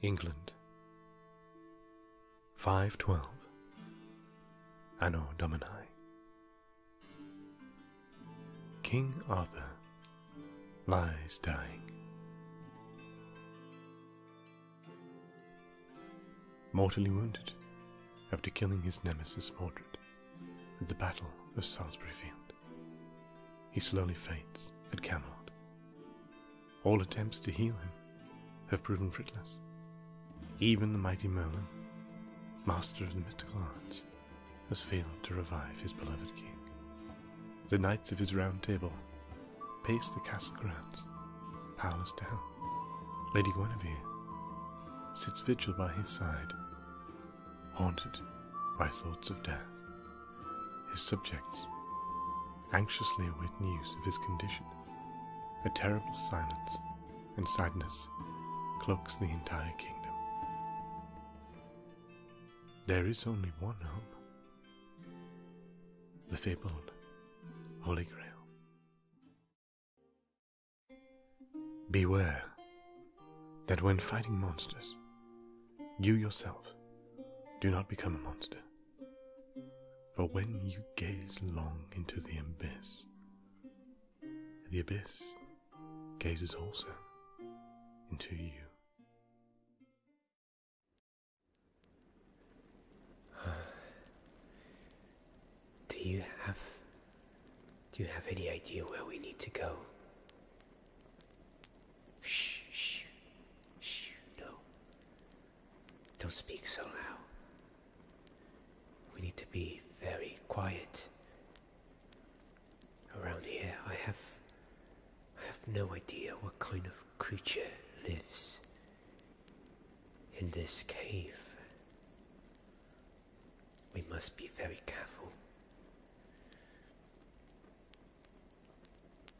England. 512 Anno Domini King Arthur lies dying. Mortally wounded after killing his nemesis Mordred at the Battle of Salisbury Field, he slowly faints at Camelot. All attempts to heal him have proven fruitless, even the mighty Merlin, master of the mystical arts, has failed to revive his beloved king. The knights of his round table pace the castle grounds, powerless to help. Lady Guinevere sits vigil by his side, haunted by thoughts of death. His subjects anxiously await news of his condition. A terrible silence and sadness cloaks the entire kingdom. There is only one hope the fabled Holy Grail. Beware that when fighting monsters, you yourself do not become a monster. For when you gaze long into the abyss, the abyss gazes also into you. Do you have do you have any idea where we need to go? Shh, shh, shh, no. Don't speak so loud. We need to be very quiet. Around here, I have. I have no idea what kind of creature lives in this cave. We must be very careful.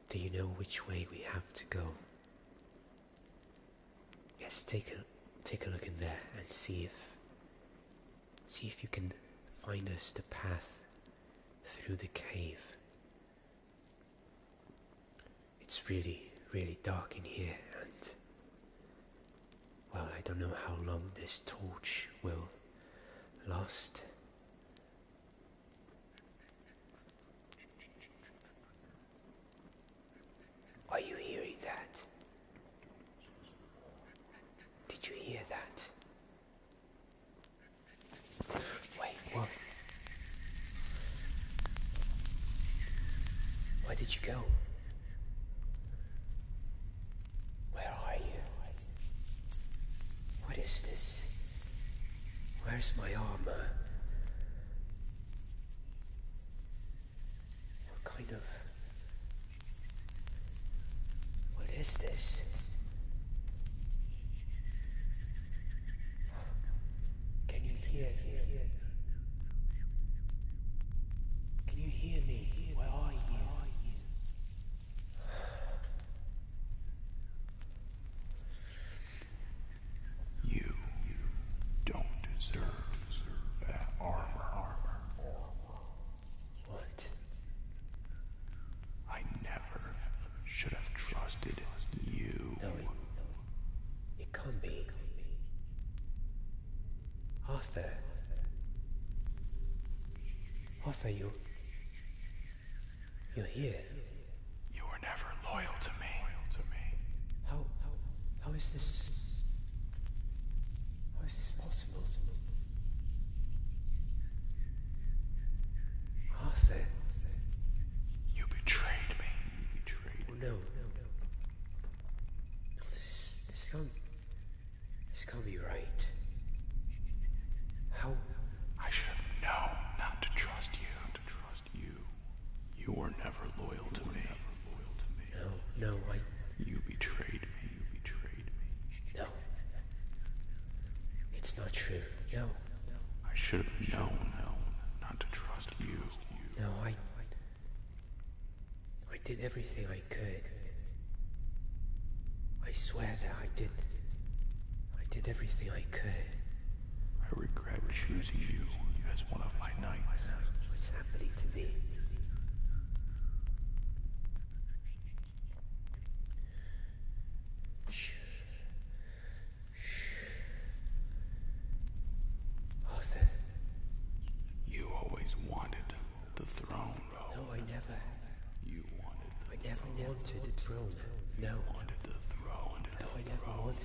Do you know which way we have to go? Yes, take a take a look in there and see if see if you can find us the path through the cave. It's really, really dark in here and well, I don't know how long this torch will last. Are you hearing that? Did you hear that? Wait, what? Where did you go? Where are you? What is this? Where's my armor? What kind of. What is this? Can you hear Can you hear me? Where are you? You don't deserve that armor. What? I never should have trusted you. No, it, can't be. Arthur. Arthur, you. You're here. You were never loyal to me. How, how, how is this? How is this possible? Arthur. You betrayed me. Oh, no. no, oh, this is, this can't, this can't be right. How? I should have known not to trust you you. You were never loyal to me. No, no, I. You betrayed me. You No. It's not true. no. I should have known, known not to trust you. No, I. I did everything I could. I swear that I did. I did everything I could. I regret choosing you as one of my knights. What's happening to me? Arthur. You always wanted the throne. No, I never. You wanted the I never wanted the throne. No. I never wanted.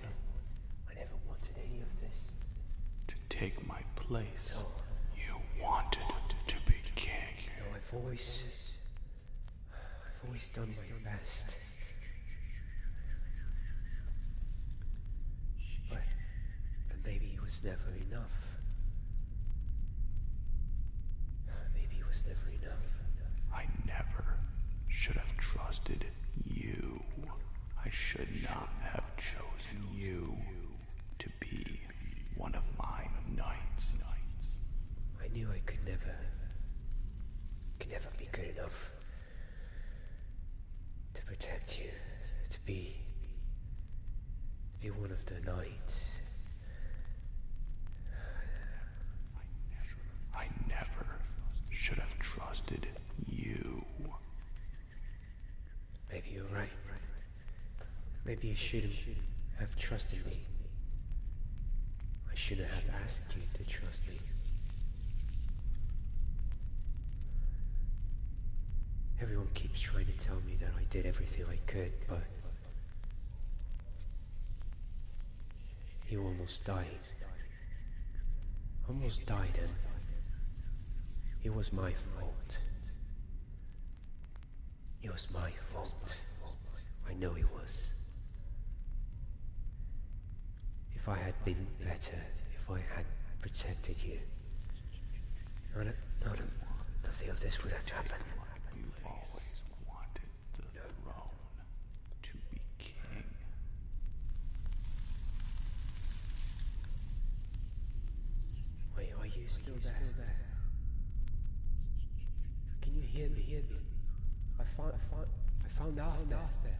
I never wanted any of this. To take my place. You wanted to be king. No, I've always. I've always done my best. but maybe it was never enough. Maybe it was never enough. I never should have trusted you. I should not have chosen you to be one of my knights. I knew I could never, could never be good enough to protect you, to be, be one of the knights. I never should have trusted Maybe you're right. Maybe you shouldn't have trusted me. I shouldn't have asked you to trust me. Everyone keeps trying to tell me that I did everything I could, but... You almost died. Almost died Then It was my fault. It was my fault. I know it was. If I had been better, if I had protected you, none of, none of, nothing of this would have happened. Wait, are you still, there? Can you hear me? Hear me? I found, I found, I found Arthur.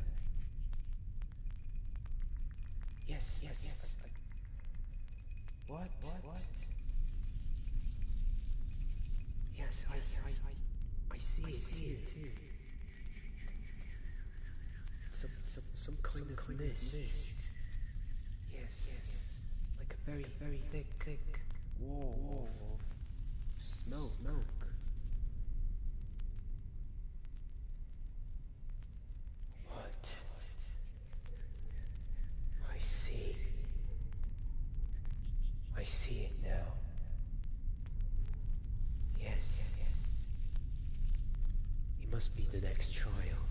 Yes, yes, yes. I, I, what? What? What? Yes, yes, I, see, I see it, too. Some, some, some kind, of, kind mist. of mist. Yes, yes. Like a very, very thick, thick wall, smoke. smoke. What? I see. I see it now. Yes. It must be the next trial.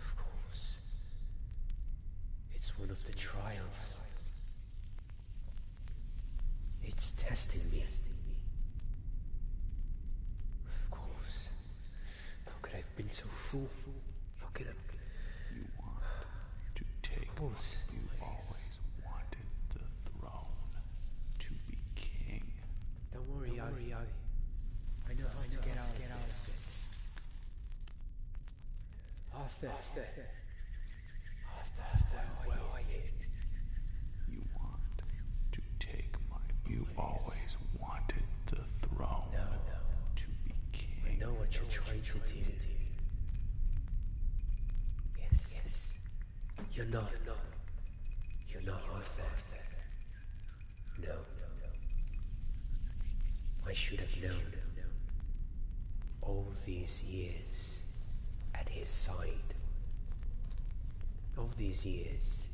Of course. It's one of the trials. It's testing me. Of course. How could I have been so fool? How could I... You want you always wanted the throne Don't worry, do I, know how to get out of this. Arthur, Arthur, Arthur, Arthur, where you? want to take my. You always wanted the throne I know what you're trying to do. Yes. Yes. You're not. You're not. You're No. I should have known. All these years at his side. All these years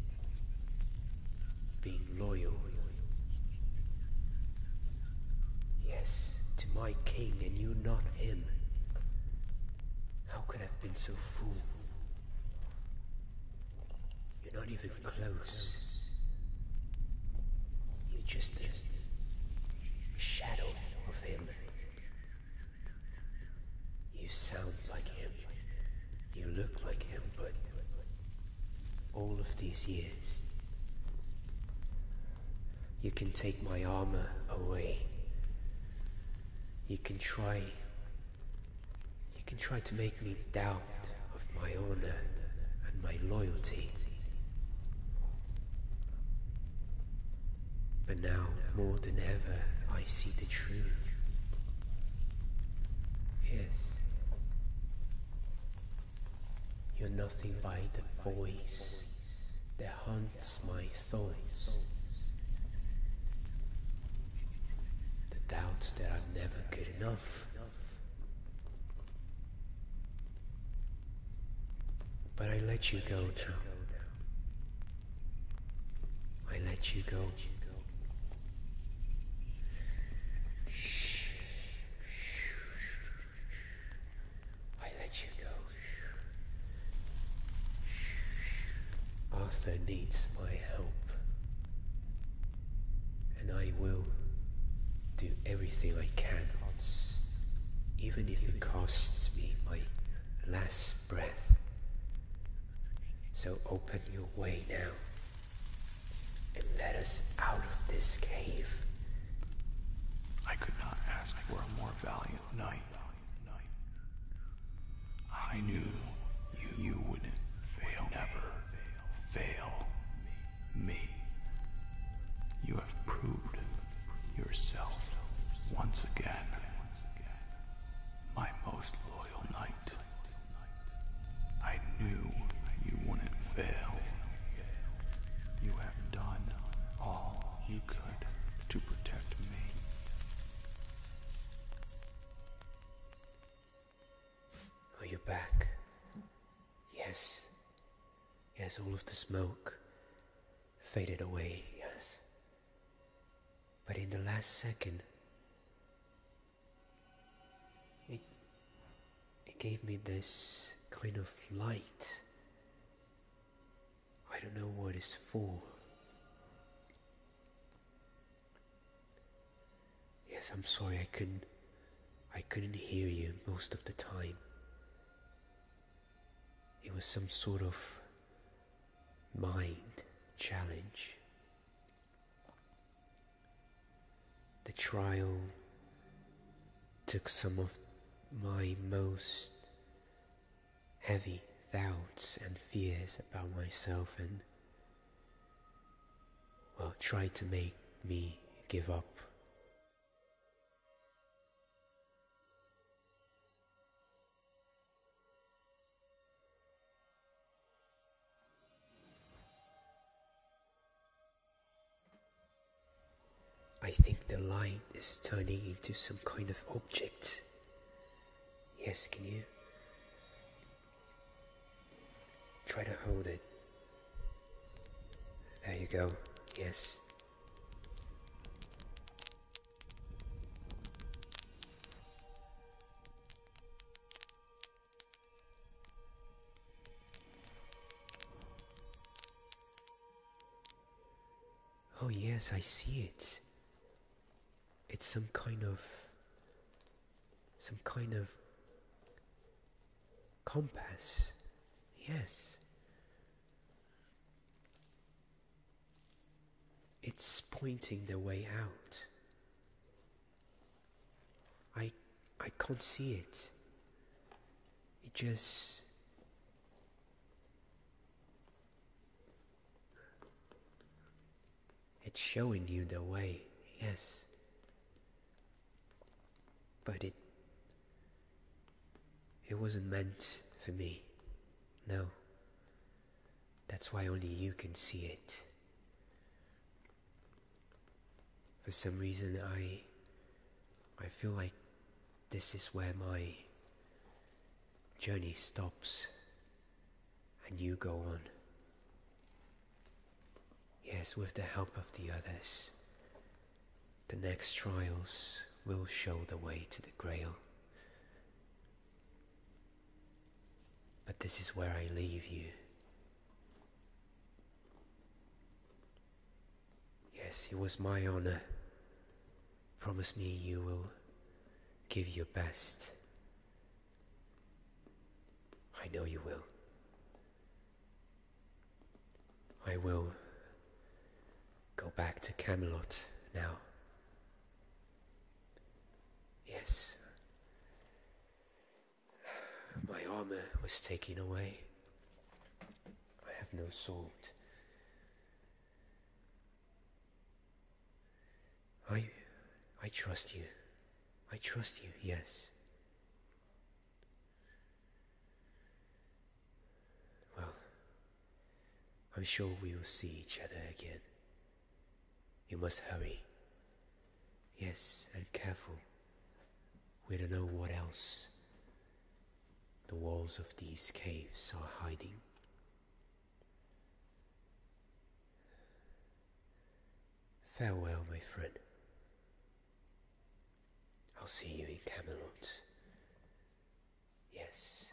being loyal Yes, to my king, and you not him. How could I have been so fool? You're not even close. You're just a shadow of him. You sound like him. You look like him, but all of these years. You can take my armor away. You can try. You can try to make me doubt of my honor and my loyalty. But now, more than ever, I see the truth. Yes. You're nothing by the voice that haunts my thoughts. The doubts that I'm never good enough. But I let you go now. I let you go. I let you go. Arthur needs my help. And I will do everything I can, even if it costs me my last breath. So open your way now and let us out of this cave. I could not ask for a more valiant knight. I knew you, you would fail, never fail me. You have proved yourself once again, my most loyal knight. I knew you wouldn't fail you have done all you could to protect me. Are you back? Yes. Yes, all of the smoke faded away, yes. But in the last second, it it gave me this kind of light. I don't know what it's for. Yes, I'm sorry I couldn't I couldn't hear you most of the time. It was some sort of mind challenge. The trial took some of my most heavy doubts and fears about myself and well tried to make me give up. I think the light is turning into some kind of object. Yes, can you? Try to hold it. There you go. Yes. Oh, yes, I see it. It's some kind of. some kind of. compass. Yes. It's pointing the way out. I I can't see it. It just It's showing you the way, yes. But it it wasn't meant for me. No. That's why only you can see it. For some reason, I. I feel like this is where my journey stops and you go on. Yes, with the help of the others, the next trials will show the way to the Grail. But this is where I leave you Yes, it was my honor. Promise me you will give your best. I know you will. I will go back to Camelot now. Yes. My armor was taken away. I have no sword. I I trust you. I trust you, yes. Well, I'm sure we will see each other again. You must hurry. Yes, and careful. We don't know what else the walls of these caves are hiding. Farewell, my friend. I'll see you in Camelot. Yes.